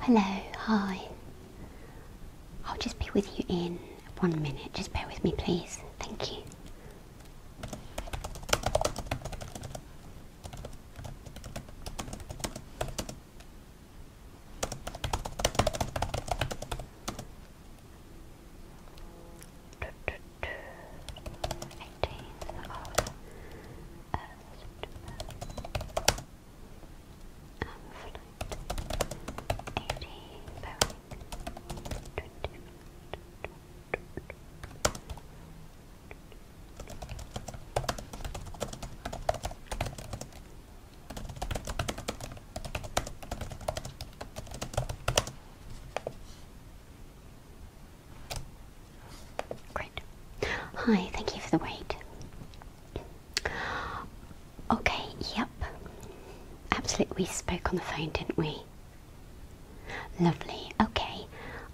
Hello, hi. I'll just be with you in one minute. Just bear with me, please. Thank you. 18th of uh, September. Um, flight 80 Boeing 20. Okay. Great. Hi, thank you for the wait. Okay, yep. Absolutely, we spoke on the phone, didn't we? Lovely. Okay.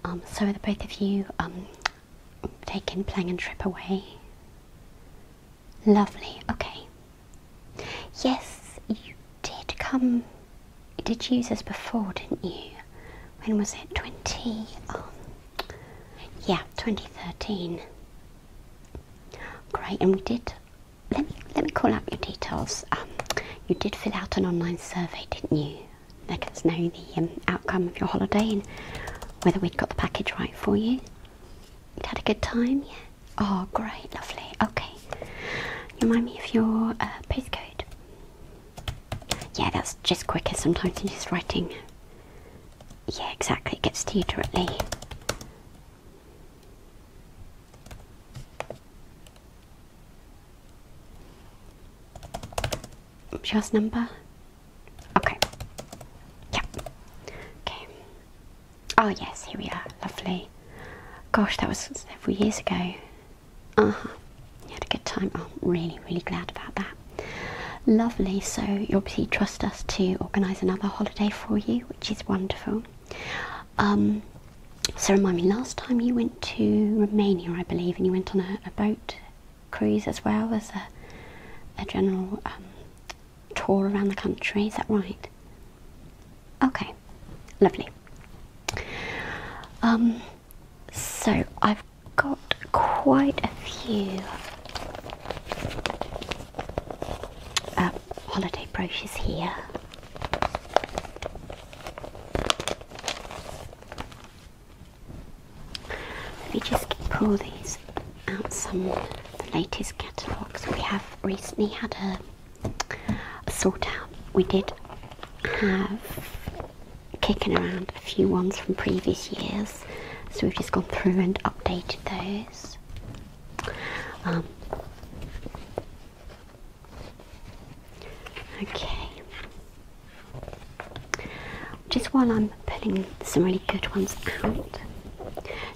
Um, so are the both of you um taking plane and trip away? Lovely. Okay. Yes, you did come, you did use this before, didn't you? When was it? 20, yeah, 2013. Great, and we did, let me, let me call up your details. Um, you did fill out an online survey, didn't you? Let us know the um, outcome of your holiday and whether we'd got the package right for you. you had a good time, yeah? Oh, great, lovely. Okay, Remind me of your uh, postcode. Yeah, that's just quicker sometimes than just writing. Yeah, exactly. It gets to you directly. Just number. Okay. Yep. Okay. Oh yes, here we are. Lovely. Gosh, that was several years ago. Uh huh. You had a good time. Oh, I'm really, really glad about that. Lovely. So you obviously trust us to organise another holiday for you, which is wonderful. Um, so remind me, last time you went to Romania, I believe, and you went on a, boat cruise as well as a, a general um, tour around the country. Is that right? Okay, lovely. Um, so I've got quite a few uh, holiday brochures here. Let me just pull these out some the latest catalogues. We have recently had a sort out. We did have kicking around a few ones from previous years, so we've just gone through and updated those. Um, okay. Just while I'm pulling some really good ones out,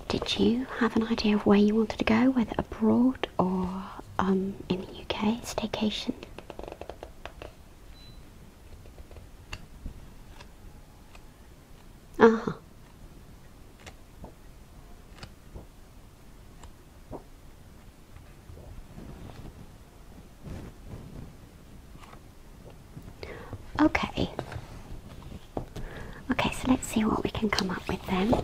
did you have an idea of where you wanted to go, whether abroad or um, in the UK, staycation. Uh huh. Okay. Okay, so let's see what we can come up with then.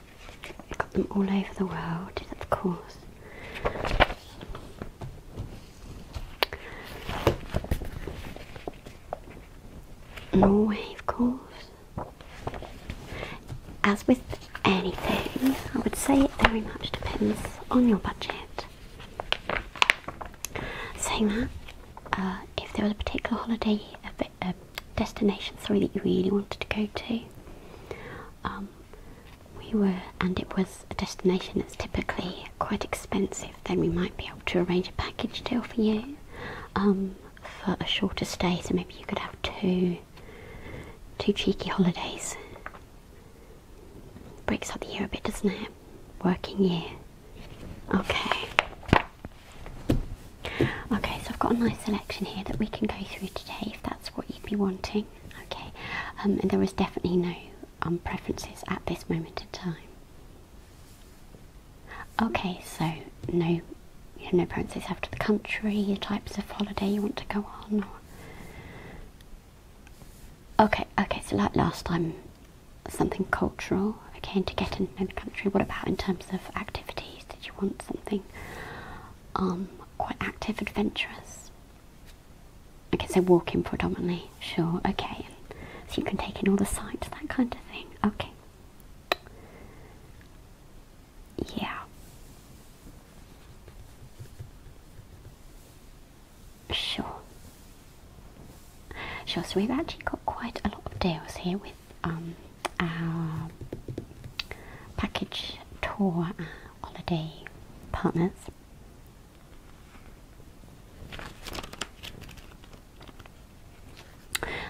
got them all over the world, of course. Norway, of course. As with anything, I would say it very much depends on your budget. Saying that, uh, if there was a particular holiday a uh, destination sorry that you really wanted to go to. Um, we were, and it was a destination that's typically quite expensive. Then we might be able to arrange a package deal for you um, for a shorter stay. So maybe you could have two, two cheeky holidays. Breaks up the year a bit, doesn't it? Working year. Okay. Okay, so I've got a nice selection here that we can go through today if that's what you'd be wanting. Okay, um, and there was definitely no um, preferences at this moment in time. Okay, so no, no preferences after the country, the types of holiday you want to go on. Okay, okay, so like last time, something cultural. Okay, to get in the country. What about in terms of activities? did you want something um, quite active, adventurous? I Okay, so walking predominantly, sure, okay. So you can take in all the sights, that kind of thing, okay. Yeah. Sure. Sure, so we've actually got quite a lot of deals here with um, our package tour uh, holiday partners.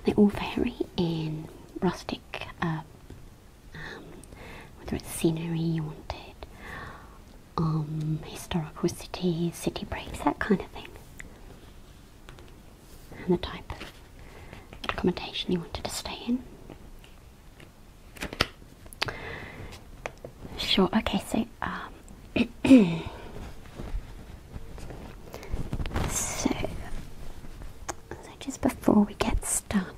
They all vary in rustic, uh, um, whether it's scenery you wanted, um, historical cities, city breaks, that kind of thing and the type of accommodation you wanted to stay in. Sure, okay, um, so so, just before we get started,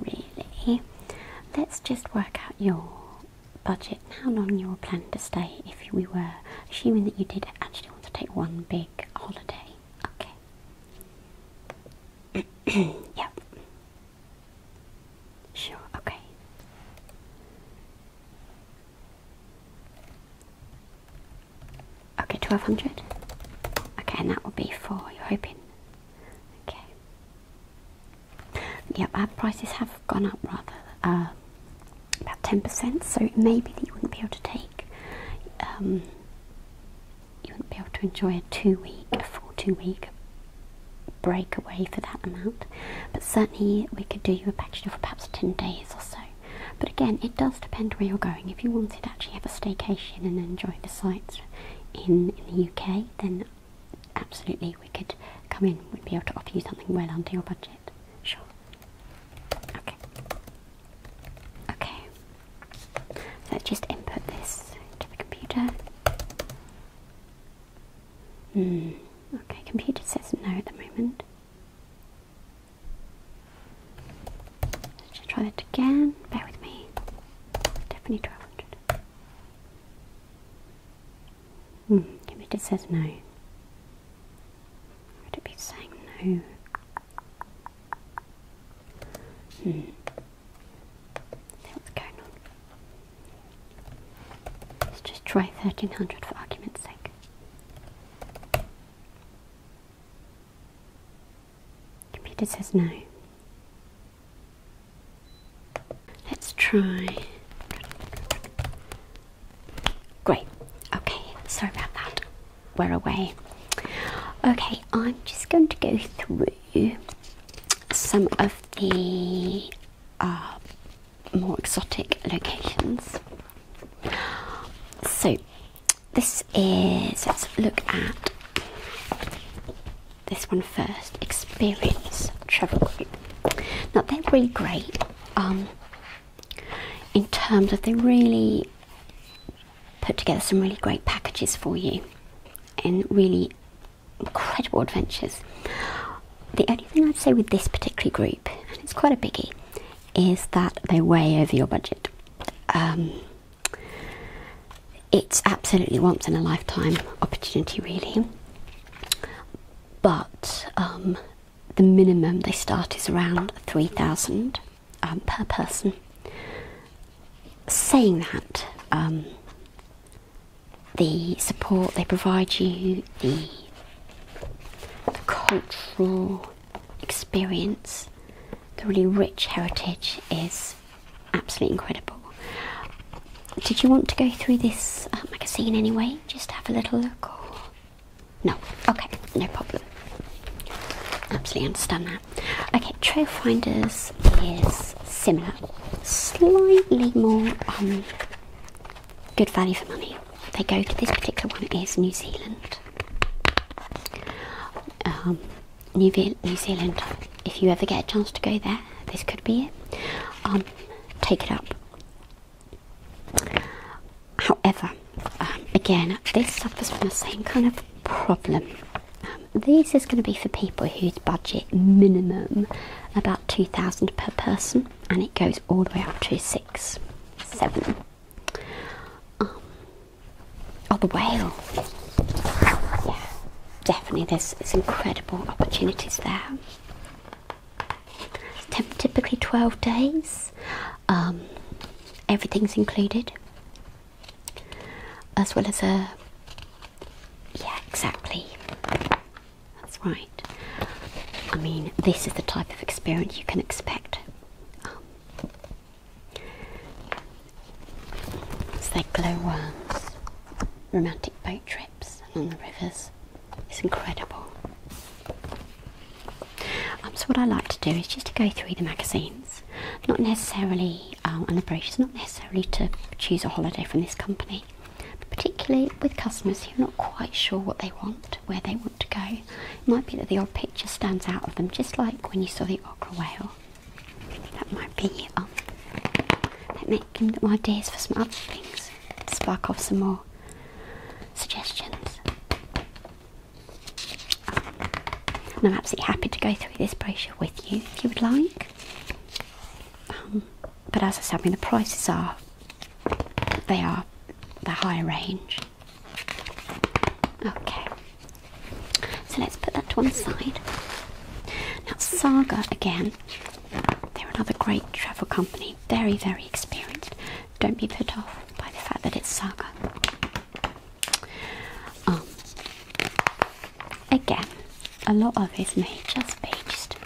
really, let's just work out your budget and how long you were planning to stay if we were assuming that you did actually want to take one big holiday. Okay. Okay. yep. Sure, okay. Okay, 1200. Okay, and that would be for, you're hoping. Okay. Yep, our prices have gone up rather, uh, about 10%, so it may be that you wouldn't be able to take um, you wouldn't be able to enjoy a two week, a full two week break away for that amount. But certainly we could do you a package for perhaps 10 days or so. But again, it does depend where you're going. If you wanted to actually have a staycation and enjoy the sights in, in the UK, then absolutely we could come in, we'd be able to offer you something well under your budget. Sure. Okay. Okay, let's just input this to the computer. Hmm, okay, computer says no at the moment. Let's just try that again. Bear with me. Definitely 1200. Hmm, computer says no. Would it be saying no? Hmm. What's going on? Let's just try 1300 for argument's sake. Computer says no. Let's try. Great. Okay, sorry about that we're away. Okay, I'm just going to go through some of the uh, more exotic locations. So, this is, let's look at this one first Experience Travel Group. Now, they're really great um, in terms of they really put together some really great packages for you and really incredible adventures. The only thing I'd say with this particular group, and it's quite a biggie, is that they're way over your budget. Um, it's absolutely once in a lifetime opportunity, really. But um, the minimum they start is around 3,000. Um, per person. Saying that, um, the support they provide you, the, cultural experience, the really rich heritage is absolutely incredible. Did you want to go through this uh, magazine anyway? Just have a little look? No. Okay, no problem. Absolutely understand that. Okay, Trailfinders is similar, slightly more um, good value for money. They go to this particular one is New Zealand. Um, New, Zealand. If you ever get a chance to go there, this could be it. Um, take it up. However, um, again, this suffers from the same kind of problem. Um, this is going to be for people whose budget minimum about 2000 per person and it goes all the way up to 6 7 um, Oh, the whale. definitely there's, there's incredible opportunities there. typically 12 days. Um, everything's included as well as a yeah exactly that's right I mean this is the type of experience you can expect um, it's like glowworms romantic boat trips along the rivers it's incredible um, so what I like to do is just to go through the magazines not necessarily um, an approach, it's not necessarily to choose a holiday from this company, but particularly with customers who are not quite sure what they want, where they want to go. It might be that the odd picture stands out of them, just like when you saw the Ogra whale. That might be it. Um, that might give them ideas for some other things, spark off some more suggestions. I'm absolutely happy to go through this brochure with you if you would like. Um, but as I said, I mean the prices are they are the higher range. Okay. So let's put that to one side. Now Saga again, they're another great travel company, very, very experienced. Don't be put off by the fact that it's Saga. Um, again, a lot of it may just be just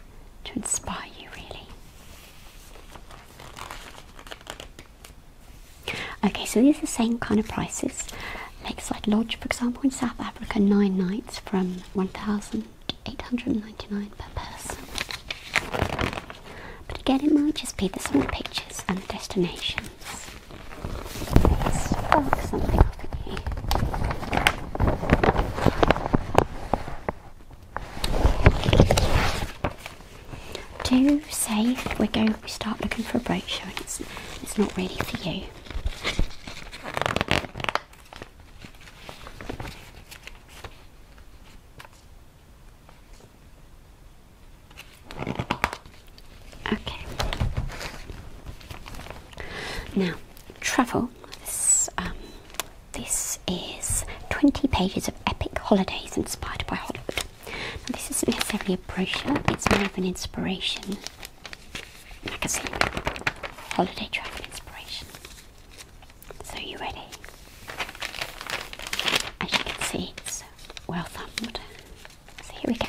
to inspire you, really. Okay, so these are the same kind of prices. Lakeside Lodge, for example, in South Africa, nine nights from 1,899 per person. But again, it might just be the small pictures and destinations. Spark something Do say we're going to start looking for a brooch and it's, it's not ready for you. Okay. Now, travel. Um, this, is 20 pages of epic holidays inspired by Hollywood. this isn't necessarily a brochure, it's more of an inspiration magazine. Holiday travel inspiration. So, you ready? As you can see, it's well thumbed. So here we go.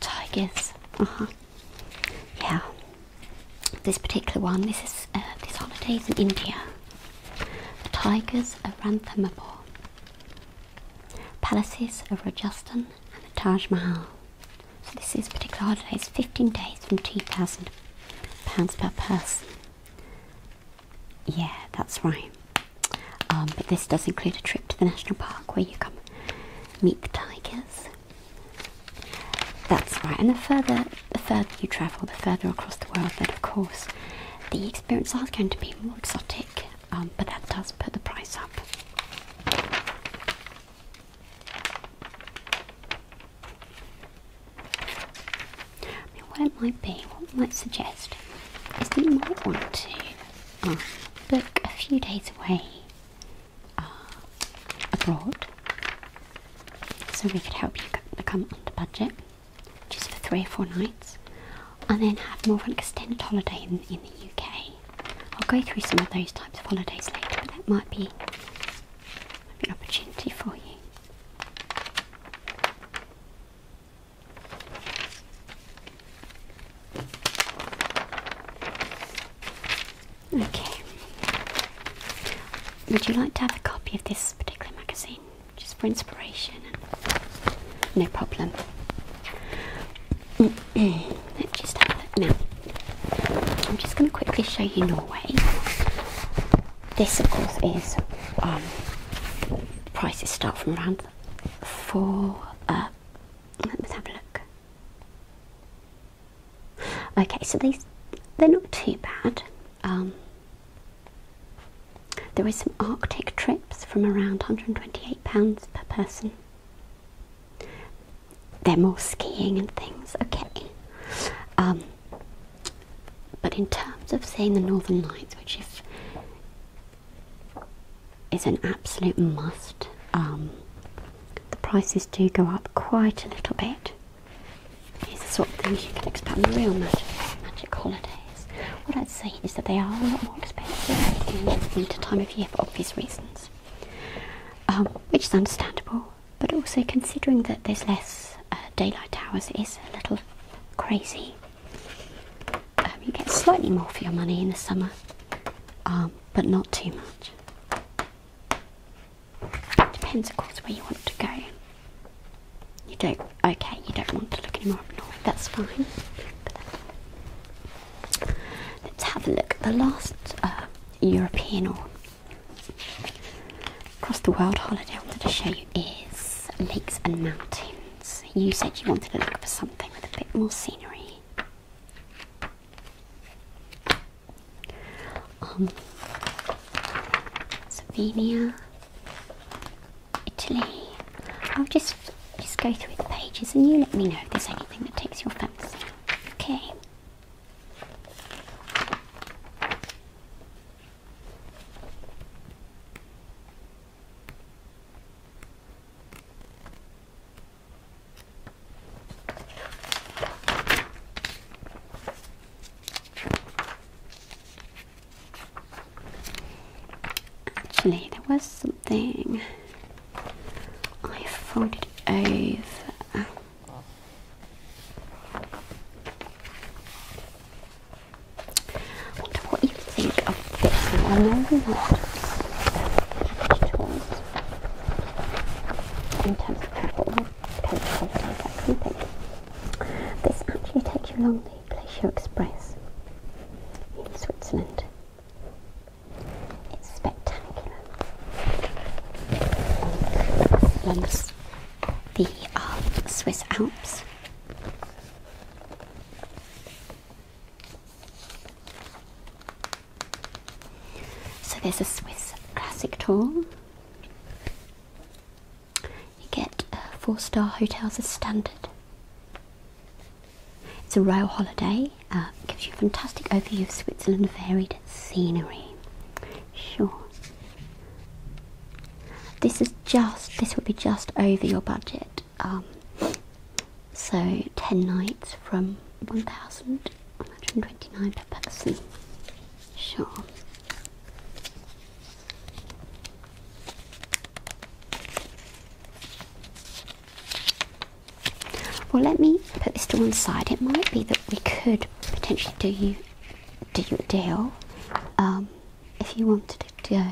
Tigers. Uh huh. Yeah. This particular one. This is uh, This holiday is in India. The tigers of Ranthambore. Palaces of Rajasthan and the Taj Mahal. So this is particular holidays, 15 days from £2,000 per person. Yeah, that's right. Um, but this does include a trip to the national park where you come meet the tigers. That's right. And the further the further you travel, the further across the world, then of course the experience are going to be more exotic um, but that does put the price up. I mean, what it might be, what I might suggest is that you might want to um, book a few days away uh, abroad so we could help you become under budget just for three or four nights and then have more of an extended holiday in the UK I'll go through some of those types of holidays later, but that might be, might be an opportunity for you. Okay. Would you like to have a copy of this particular magazine just for inspiration? No problem. Let's just have a look I'm just going to quickly show you Norway. This, of course, is um, prices start from around four. Uh, let's have a look. Okay, so these they're not too bad. Um, there are some Arctic trips from around 128 pounds per person they're more skiing and things, okay. Um, but in terms of seeing the Northern Lights, which is an absolute must, um, the prices do go up quite a little bit. These are sort of things you can expect on the real magic, magic holidays. What I'd say is that they are a lot more expensive in the winter time of year for obvious reasons. Um, which is understandable, but also considering that there's less uh, daylight hours is a little crazy. Um, you get slightly more for your money in the summer, um, but not too much. It depends, of course, where you want to go. You don't, okay, you don't want to look any more north, that's fine. Let's have a look. at The last uh, European or across the world holiday I wanted to show you is lakes and mountains. You said you wanted to look for something with a bit more scenery. Um, Slovenia, Italy. I'll just just go through the pages and you let me know if there's anything that takes your fancy. Okay. Actually, there was I folded it over. I wonder what you think of this I know you're not toys in terms of travel coach holidays, that kind thing. This actually takes you along the Glacier Express in Switzerland. It's spectacular. Once the uh, Swiss Alps. So there's a Swiss classic tour. You get uh, four star hotels as standard. It's a rail holiday, uh, gives you a fantastic overview of Switzerland, varied scenery. Sure. This is just, this would be just over your budget. Um, so 10 nights from 1,129 per person. Sure. Well, let me put this to one side. It might be that we could potentially do you do you a deal um, if you wanted to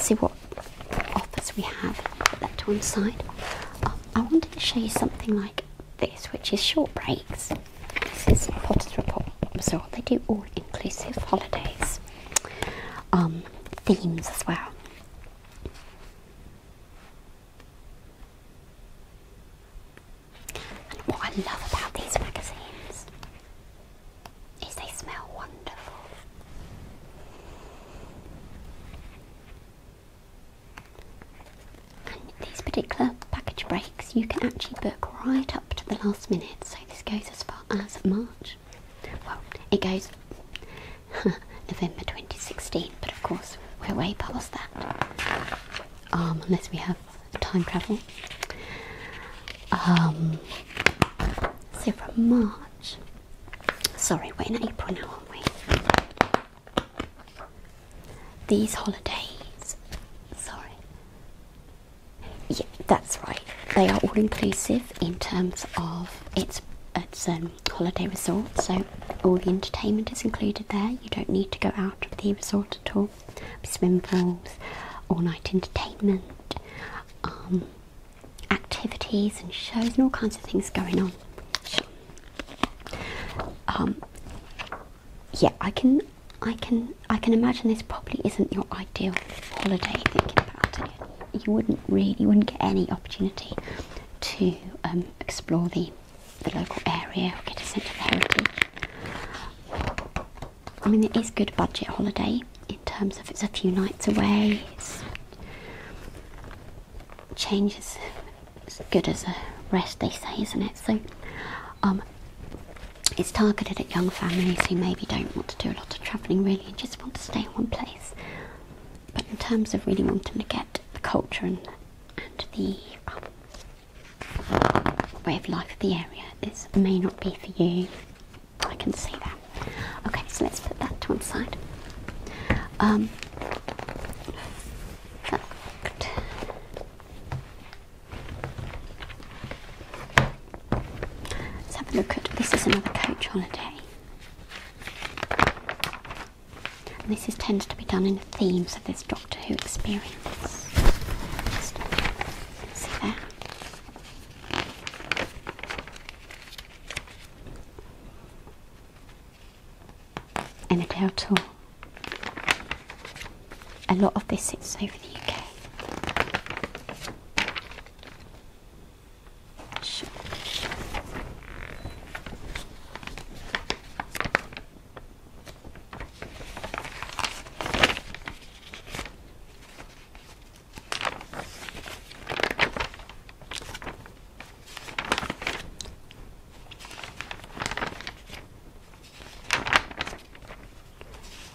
See what offers we have. Put that to one side. Um, I wanted to show you something like this, which is short breaks. This is Potter's Report Resort. They do all-inclusive holidays, um, themes as well. And what I love about these magazines is they smell wonderful. And these particular package breaks you can actually book right up to the last minute, so this goes as far as March. Well, it goes November 2016, but of course we're way past that. Um, unless we have time travel. Um, so from March, sorry, we're in April now, aren't we? These holidays, sorry. Yeah, that's right. They are all inclusive in terms of it's it's um holiday resort, so all the entertainment is included there. You don't need to go out of the resort at all. Swim pools, all night entertainment, um, activities and shows, and all kinds of things going on. Um, yeah, I can, I can, I can imagine this probably isn't your ideal holiday. Thinking about it, you wouldn't really, you wouldn't get any opportunity to um, explore the, local area get a sense of heritage. I mean, it is good budget holiday in terms of it's a few nights away. It's change is as good as a rest, they say, isn't it? So, um, it's targeted at young families who maybe don't want to do a lot of travelling really and just want to stay in one place. But in terms of really wanting to get the culture and, the um, way of life of the area. This may not be for you. I can see that. Okay, so let's put that to one side. Um, let's have a look at this is another coach holiday. And this is, tends to be done in themes of this Doctor Who experience. see there. And a cloud tool. A lot of this is over the UK.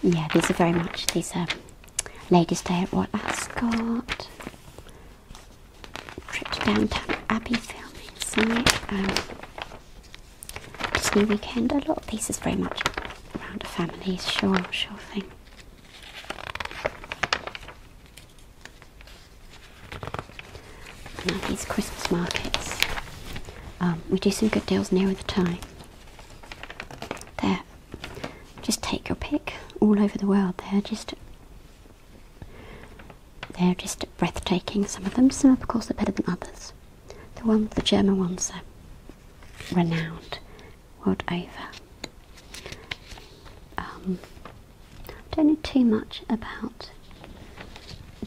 Yeah, these are very much these um, ladies' day at what Ascot. Trip to downtown Abbey filming summer Disney weekend. A lot of pieces very much around a family. Sure, sure thing. these Christmas markets. Um, we do some good deals near the time. There. Just take your pick all over the world there. Just they're just breathtaking, some of them. Some, of course, are better than others. The one, the German ones are renowned world over. Um, don't know too much about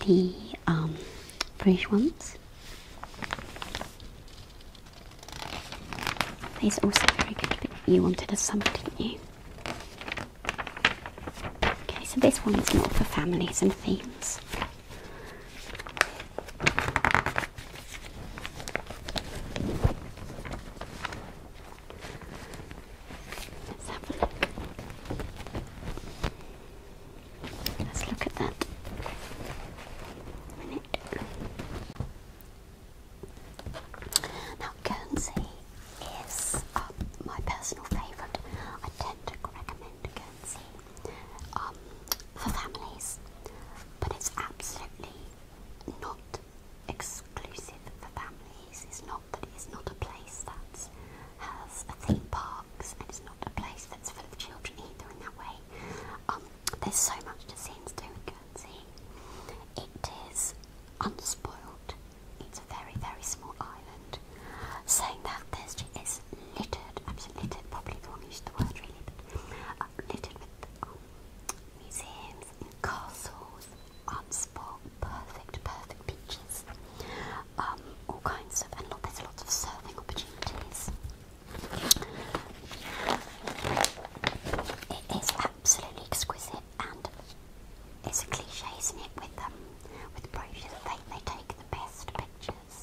the um, British ones. These are also very good, you wanted a summer, didn't you? Okay, so this one is more for families and themes. Let's look. at that. Now, Guernsey is um, my personal favourite. I tend to recommend Guernsey um, for families, but it's absolutely not exclusive for families. It's not it's not a place that has a theme parks, and it's not a place that's full of children either. In that way, um, there's so much to see and do in Guernsey. It is unspoiled. It's a very, very small island. Saying that, this is littered, absolutely littered, probably the one who used the word really, but littered with um, museums and castles, art spot, perfect, perfect beaches, um, all kinds of, and look, there's lots of serving opportunities. It is absolutely exquisite and it's a cliche, isn't it? With them, um, with brochures, they they take the best pictures.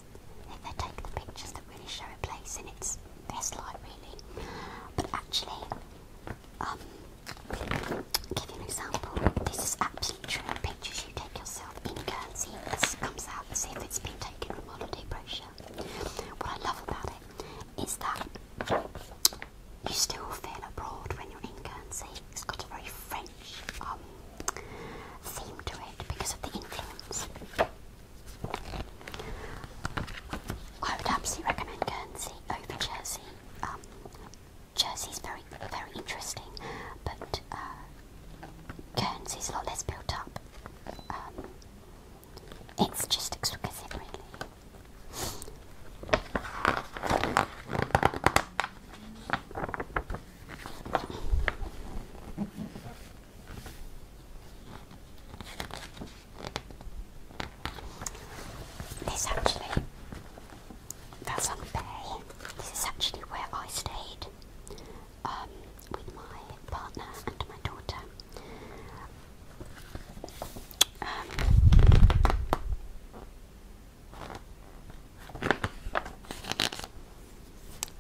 They, take the pictures that really show a place in its best light, really. But actually, um, give you an example. This is absolutely true. Pictures you take yourself in Guernsey, this comes out as if it's been taken from holiday brochure. What I love about it is that you still feel abroad when you're in Guernsey. It's got a very French um, theme to it because of the influence. I would absolutely recommend Guernsey over Jersey. Um, Jersey's very, very interesting, but uh, Guernsey's a lot less built up. Um, it's just exquisite, really. This actually, that's on the bay. This is actually where I stayed um, with my partner and my daughter. Um,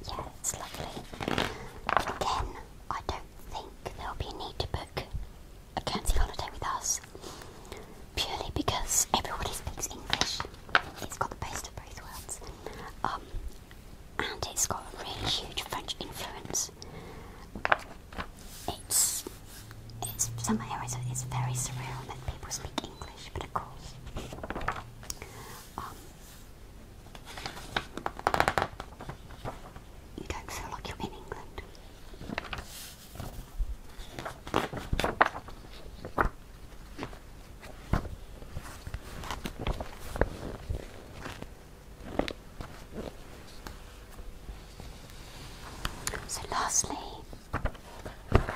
yeah, lovely. Again, I don't think there'll be need to book a Guernsey holiday with us purely because everybody speaks English. It's got the best of both worlds. Um, and it's got a really huge French influence. It's it's somehow it's, it's very surreal that people speak English, but of course. Um, you don't feel like you're in England. So, lastly, Coach holiday.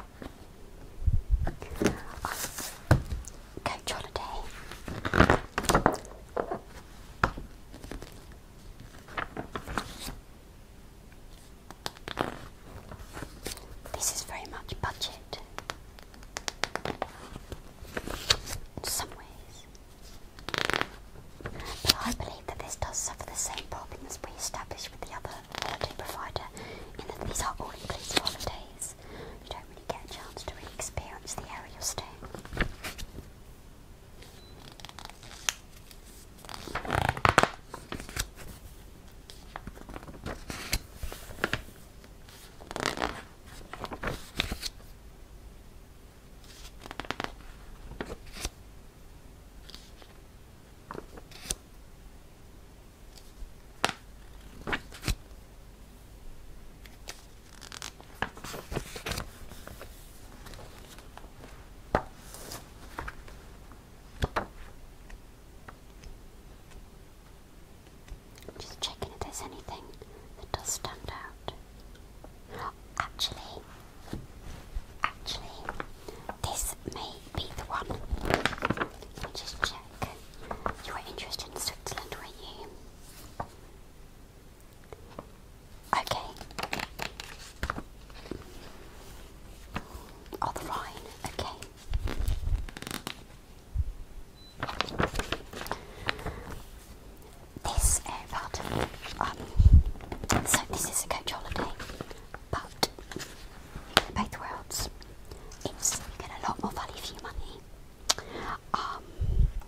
This is very much budget in some ways. But I believe that this does suffer the same problem we established with the other holiday provider in these are all-inclusive holidays. You don't really get a chance to really experience the area you're staying. Just checking if there's anything that does stand out. Actually, Actually, this may be the one. just check. You were interested in Switzerland, were you? Okay. Oh, the Rhine. Okay. This airport. Um, so this is a coach holiday, but both worlds. you get a lot more value for your money. Um,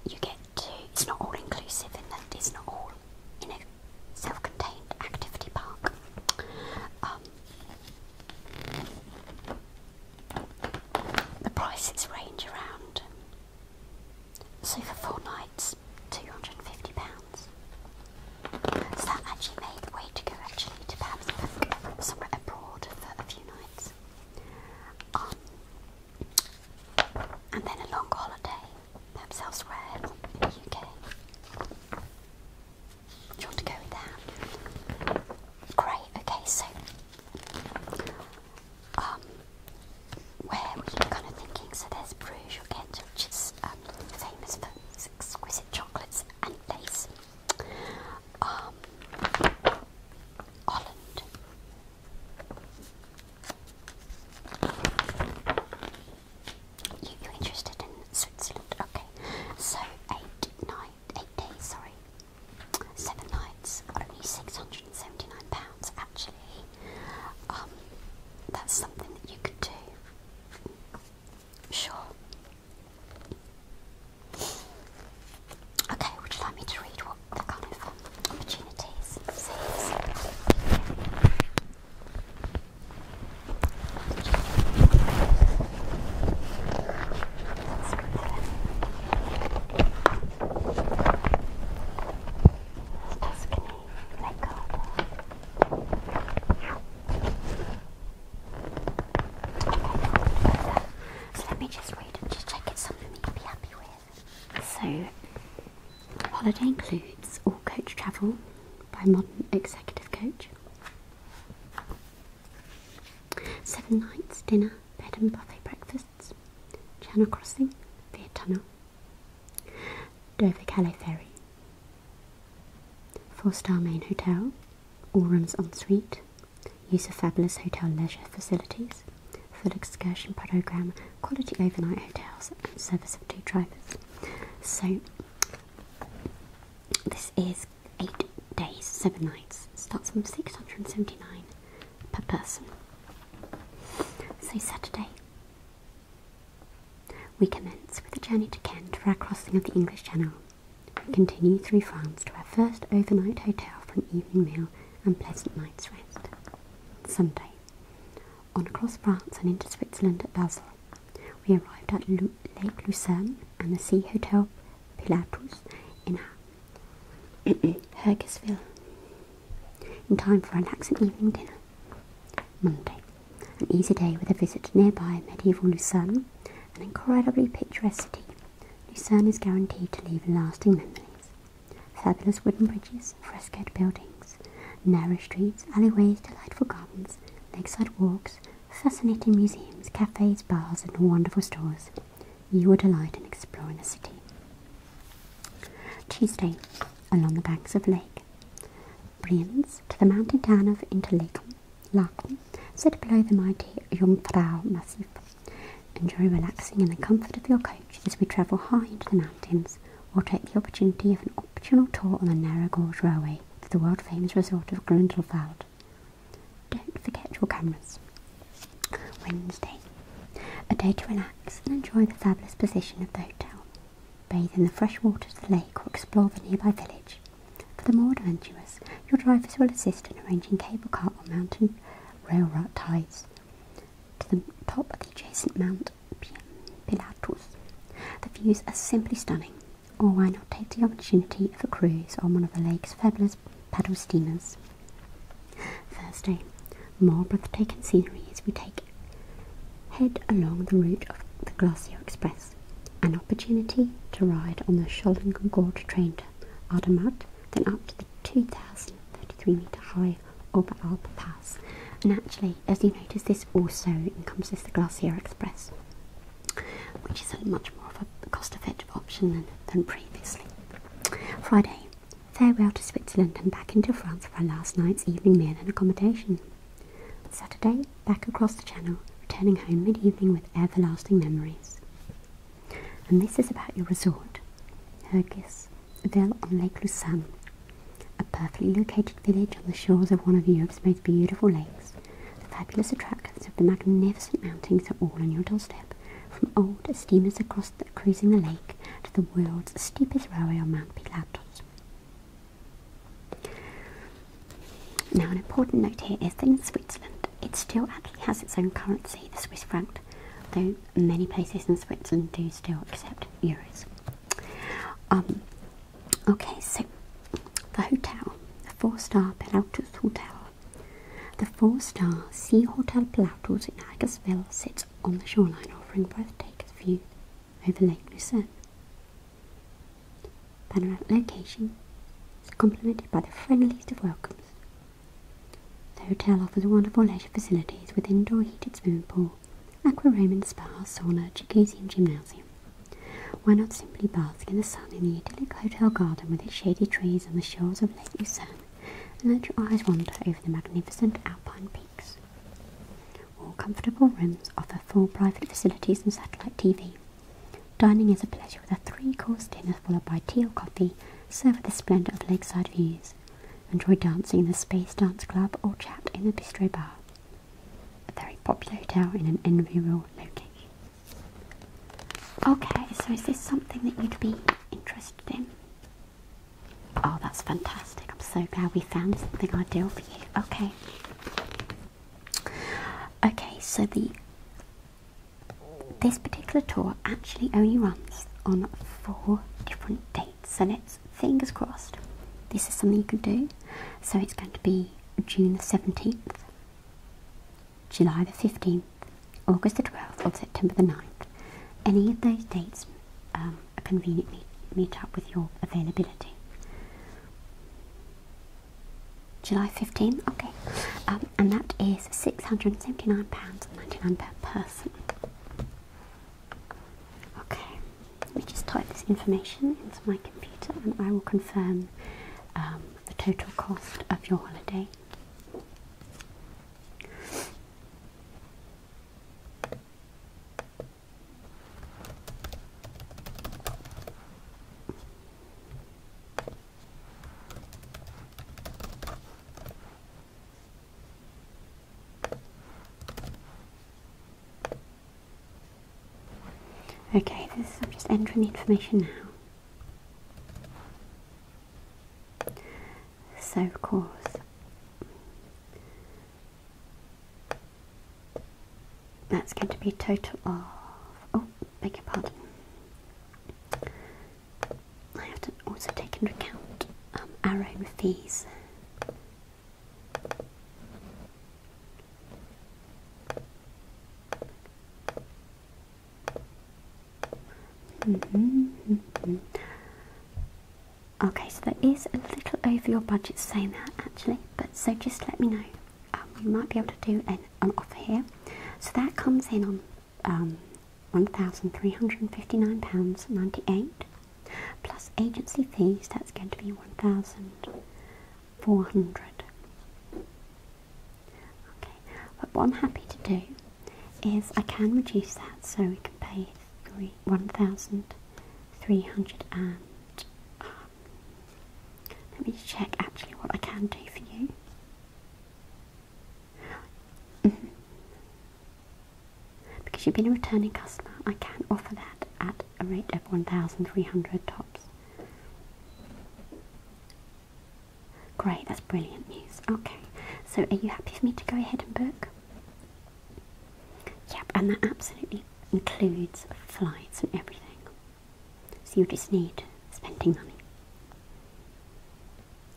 you get to it's not all inclusive and it's not all in a self-contained activity park. Um, the prices range around. So for four nights, two hundred and fifty pounds. So that actually made the way to go actually to perhaps somewhere abroad for a few nights. Um, and then a long holiday, perhaps elsewhere in the UK. want to go with Great, okay, so um, where were you kind of thinking? So there's Bruges, you'll which is um, famous for exquisite chocolates and lace. Um, Holland. You, interested in Switzerland? Okay. So, eight, nine, eight days, sorry. Seven nights, only £679, actually. Um, that's something that you could do. Sure. Okay, would you like me to read what the kind of um, opportunities says? Tuscany, Lake Garda. So holiday includes all coach travel by modern executive coach, seven nights, dinner, bed and buffet breakfasts, Channel Crossing, Via Tunnel, Dover Calais Ferry, Four-star main hotel, all rooms en suite, use of fabulous hotel leisure facilities, full excursion program, quality overnight hotels, and service of two drivers. So this is eight days, seven nights. Starts from six hundred and seventy-nine per person. So Saturday. We commence with a journey to Kent for our crossing of the English Channel. We continue through France to our first overnight hotel for an evening meal and pleasant night's rest. Sunday. On across France and into Switzerland at Basel. We arrived at Lake Lucerne and the Sea Hotel Pilatus in Hergisville in time for an excellent evening dinner. Monday. An easy day with a visit to nearby medieval Lucerne, an incredibly picturesque city. Lucerne is guaranteed to leave lasting memories. Fabulous wooden bridges, frescoed buildings, narrow streets, alleyways, delightful gardens, lakeside walks, fascinating museums, cafes, bars, and wonderful stores. You will delight in exploring the city. Tuesday, along the banks of lake. Prince to the mountain town of Interlaken, Laken, below the mighty Jungfrau Massif. Enjoy relaxing in the comfort of your coach as we travel high into the mountains or take the opportunity of an optional tour on the narrow gauge railway to the world famous resort of Grundelfeld. Don't forget your cameras. Wednesday. A day to relax and enjoy the fabulous position of the hotel bathe in the fresh waters of the lake, or explore the nearby village. For the more adventurous, your drivers will assist in arranging cable car or mountain rail rides to the top of the adjacent Mount Pilatus. The views are simply stunning, or why not take the opportunity of a cruise on one of the lake's fabulous paddle steamers? Thursday, more breathtaking scenery as we take head along the route of the Glacier Express an opportunity to ride on the Schollengord train to Adamat, then up to the 2,033 metre high Oberalp Pass. And actually, as you notice, this also encompasses the Glacier Express, which is a much more of a cost effective option than, than previously. Friday, farewell to Switzerland and back into France for our last night's evening meal and accommodation. Saturday, back across the channel, returning home mid evening with everlasting memories. And this is about your resort, Hergis, Ville on Lake Lucerne, a perfectly located village on the shores of one of Europe's most beautiful lakes. The fabulous attractions of the magnificent mountains are all on your doorstep, from old steamers across the, cruising the lake to the world's steepest railway on Mount Pilatus. Now, an important note here is that in Switzerland, it still actually has its own currency, the Swiss franc, though many places in Switzerland do still accept euros. Um, okay, so the hotel, the four star Pelautus Hotel. The four star Sea Hotel Pelautus in Hagersville sits on the shoreline, offering breathtaking views over Lake Lucerne. Panoramic location is complemented by the friendliest of welcomes. The hotel offers wonderful leisure facilities with indoor heated swimming pool, aquarium and spa, sauna, jacuzzi and gymnasium. Why not simply bask in the sun in the idyllic hotel garden with its shady trees and the shores of Lake Lucerne and let your eyes wander over the magnificent alpine peaks. All comfortable rooms offer full private facilities and satellite TV. Dining is a pleasure with a three-course dinner followed by tea or coffee, served with the splendour of lakeside views. Enjoy dancing in the Space Dance Club or chat in the Bistro Bar. A very popular hotel in an enviable location. Okay, so is this something that you'd be interested in? Oh, that's fantastic. I'm so glad we found something ideal for you. Okay. Okay, so the this particular tour actually only runs on four different dates. and it's fingers crossed. This is something you can do. So it's going to be June the 17th, July the 15th, August the 12th, or September the 9th. Any of those dates um, conveniently meet up with your availability. July 15, okay, um, and that is £679.99 per person. Okay, let me just type this information into my computer and I will confirm um, the total cost of your holiday. Okay, I'm just entering the information now. So, of course, that's going to be a total of, oh, beg your pardon. I have to also take into account our own fees. Okay, so that is a little over your budget saying that actually, but so just let me know um, you might be able to do an, an offer here. So that comes in on um, £1,359.98 plus agency fees, that's going to be 1400 Okay, but what I'm happy to do is I can reduce that so we can pay three, 1300 and, uh, let me check actually what I can do for you. Mm-hmm. Because you've been a returning customer, I can offer that at a rate of 1,300 tops. Great, that's brilliant news. Okay, so are you happy for me to go ahead and book? Yep, and that absolutely includes flights and everything. So you just need spending money.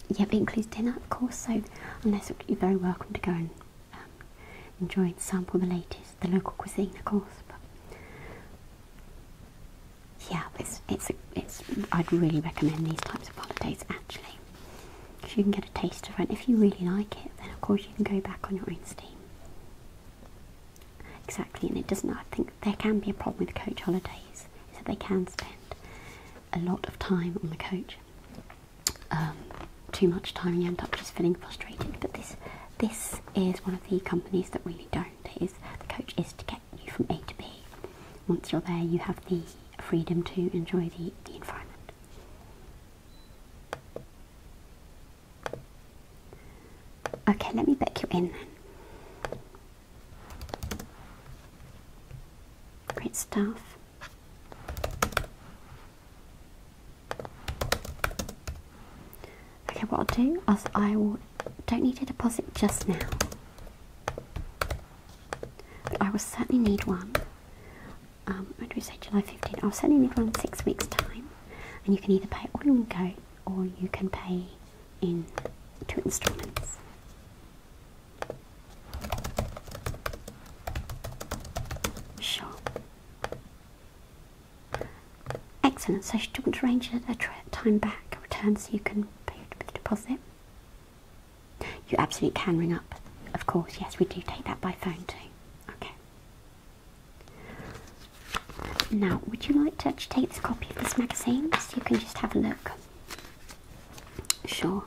Yeah, it includes dinner, of course, so unless you're very welcome to go and um, enjoy and sample the latest, the local cuisine, of course. But yeah, it's, it's, it's, I'd really recommend these types of holidays, actually. you can get a taste of it. If you really like it, then of course you can go back on your own steam. Exactly, and it doesn't. I think there can be a problem with coach holidays is that they can spend a lot of time on the coach, um, too much time, and you end up just feeling frustrated. But this this is one of the companies that really don't. It is the coach is to get you from A to B. Once you're there, you have the freedom to enjoy the, the environment. Okay, let me back you in Great stuff. Okay, what I'll do is I will don't need a deposit just now. I will certainly need one. Um, when do we say July 15? I'll certainly need one in six weeks' time. And you can either pay all in go or you can pay in two instruments. Sure. Excellent. So she didn't arrange it a time back return so you can pay the deposit. You absolutely can ring up. Of course, yes, we do take that by phone too. Okay. Now, would you like to take this copy of this magazine so you can just have a look? Sure.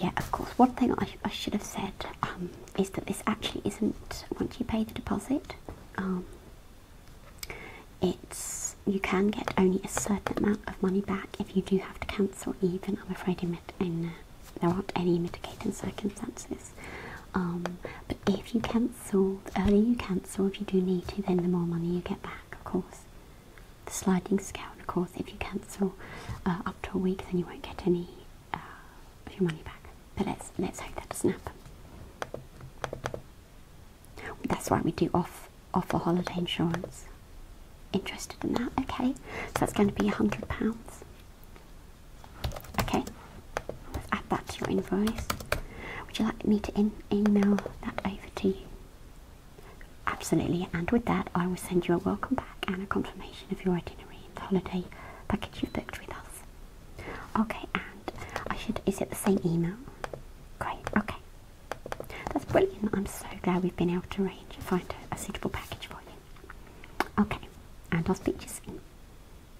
Yeah, of course. One thing I, should have said um, is that this actually isn't, once you pay the deposit, um, it's you can get only a certain amount of money back if you do have to cancel even, I'm afraid, in, in uh, there aren't any mitigating circumstances. Um, but if you can cancelled, earlier you cancel if you do need to, then the more money you get back, of course. The sliding scale, of course, if you cancel uh, up to a week, then you won't get any uh, of your money back. But let's let's hope that doesn't happen. That's why we do off offer holiday insurance. Interested in that? Okay, so that's going to be a hundred pounds. Okay, let's add that to your invoice. Would you like me to in email that over to you? Absolutely, and with that, I will send you a welcome back and a confirmation of your itinerary and holiday package you've booked with us. Okay, and I should, is it the same email? Great, okay. That's brilliant. I'm so glad we've been able to arrange find a, a suitable package for you. Okay, and I'll speak to you soon.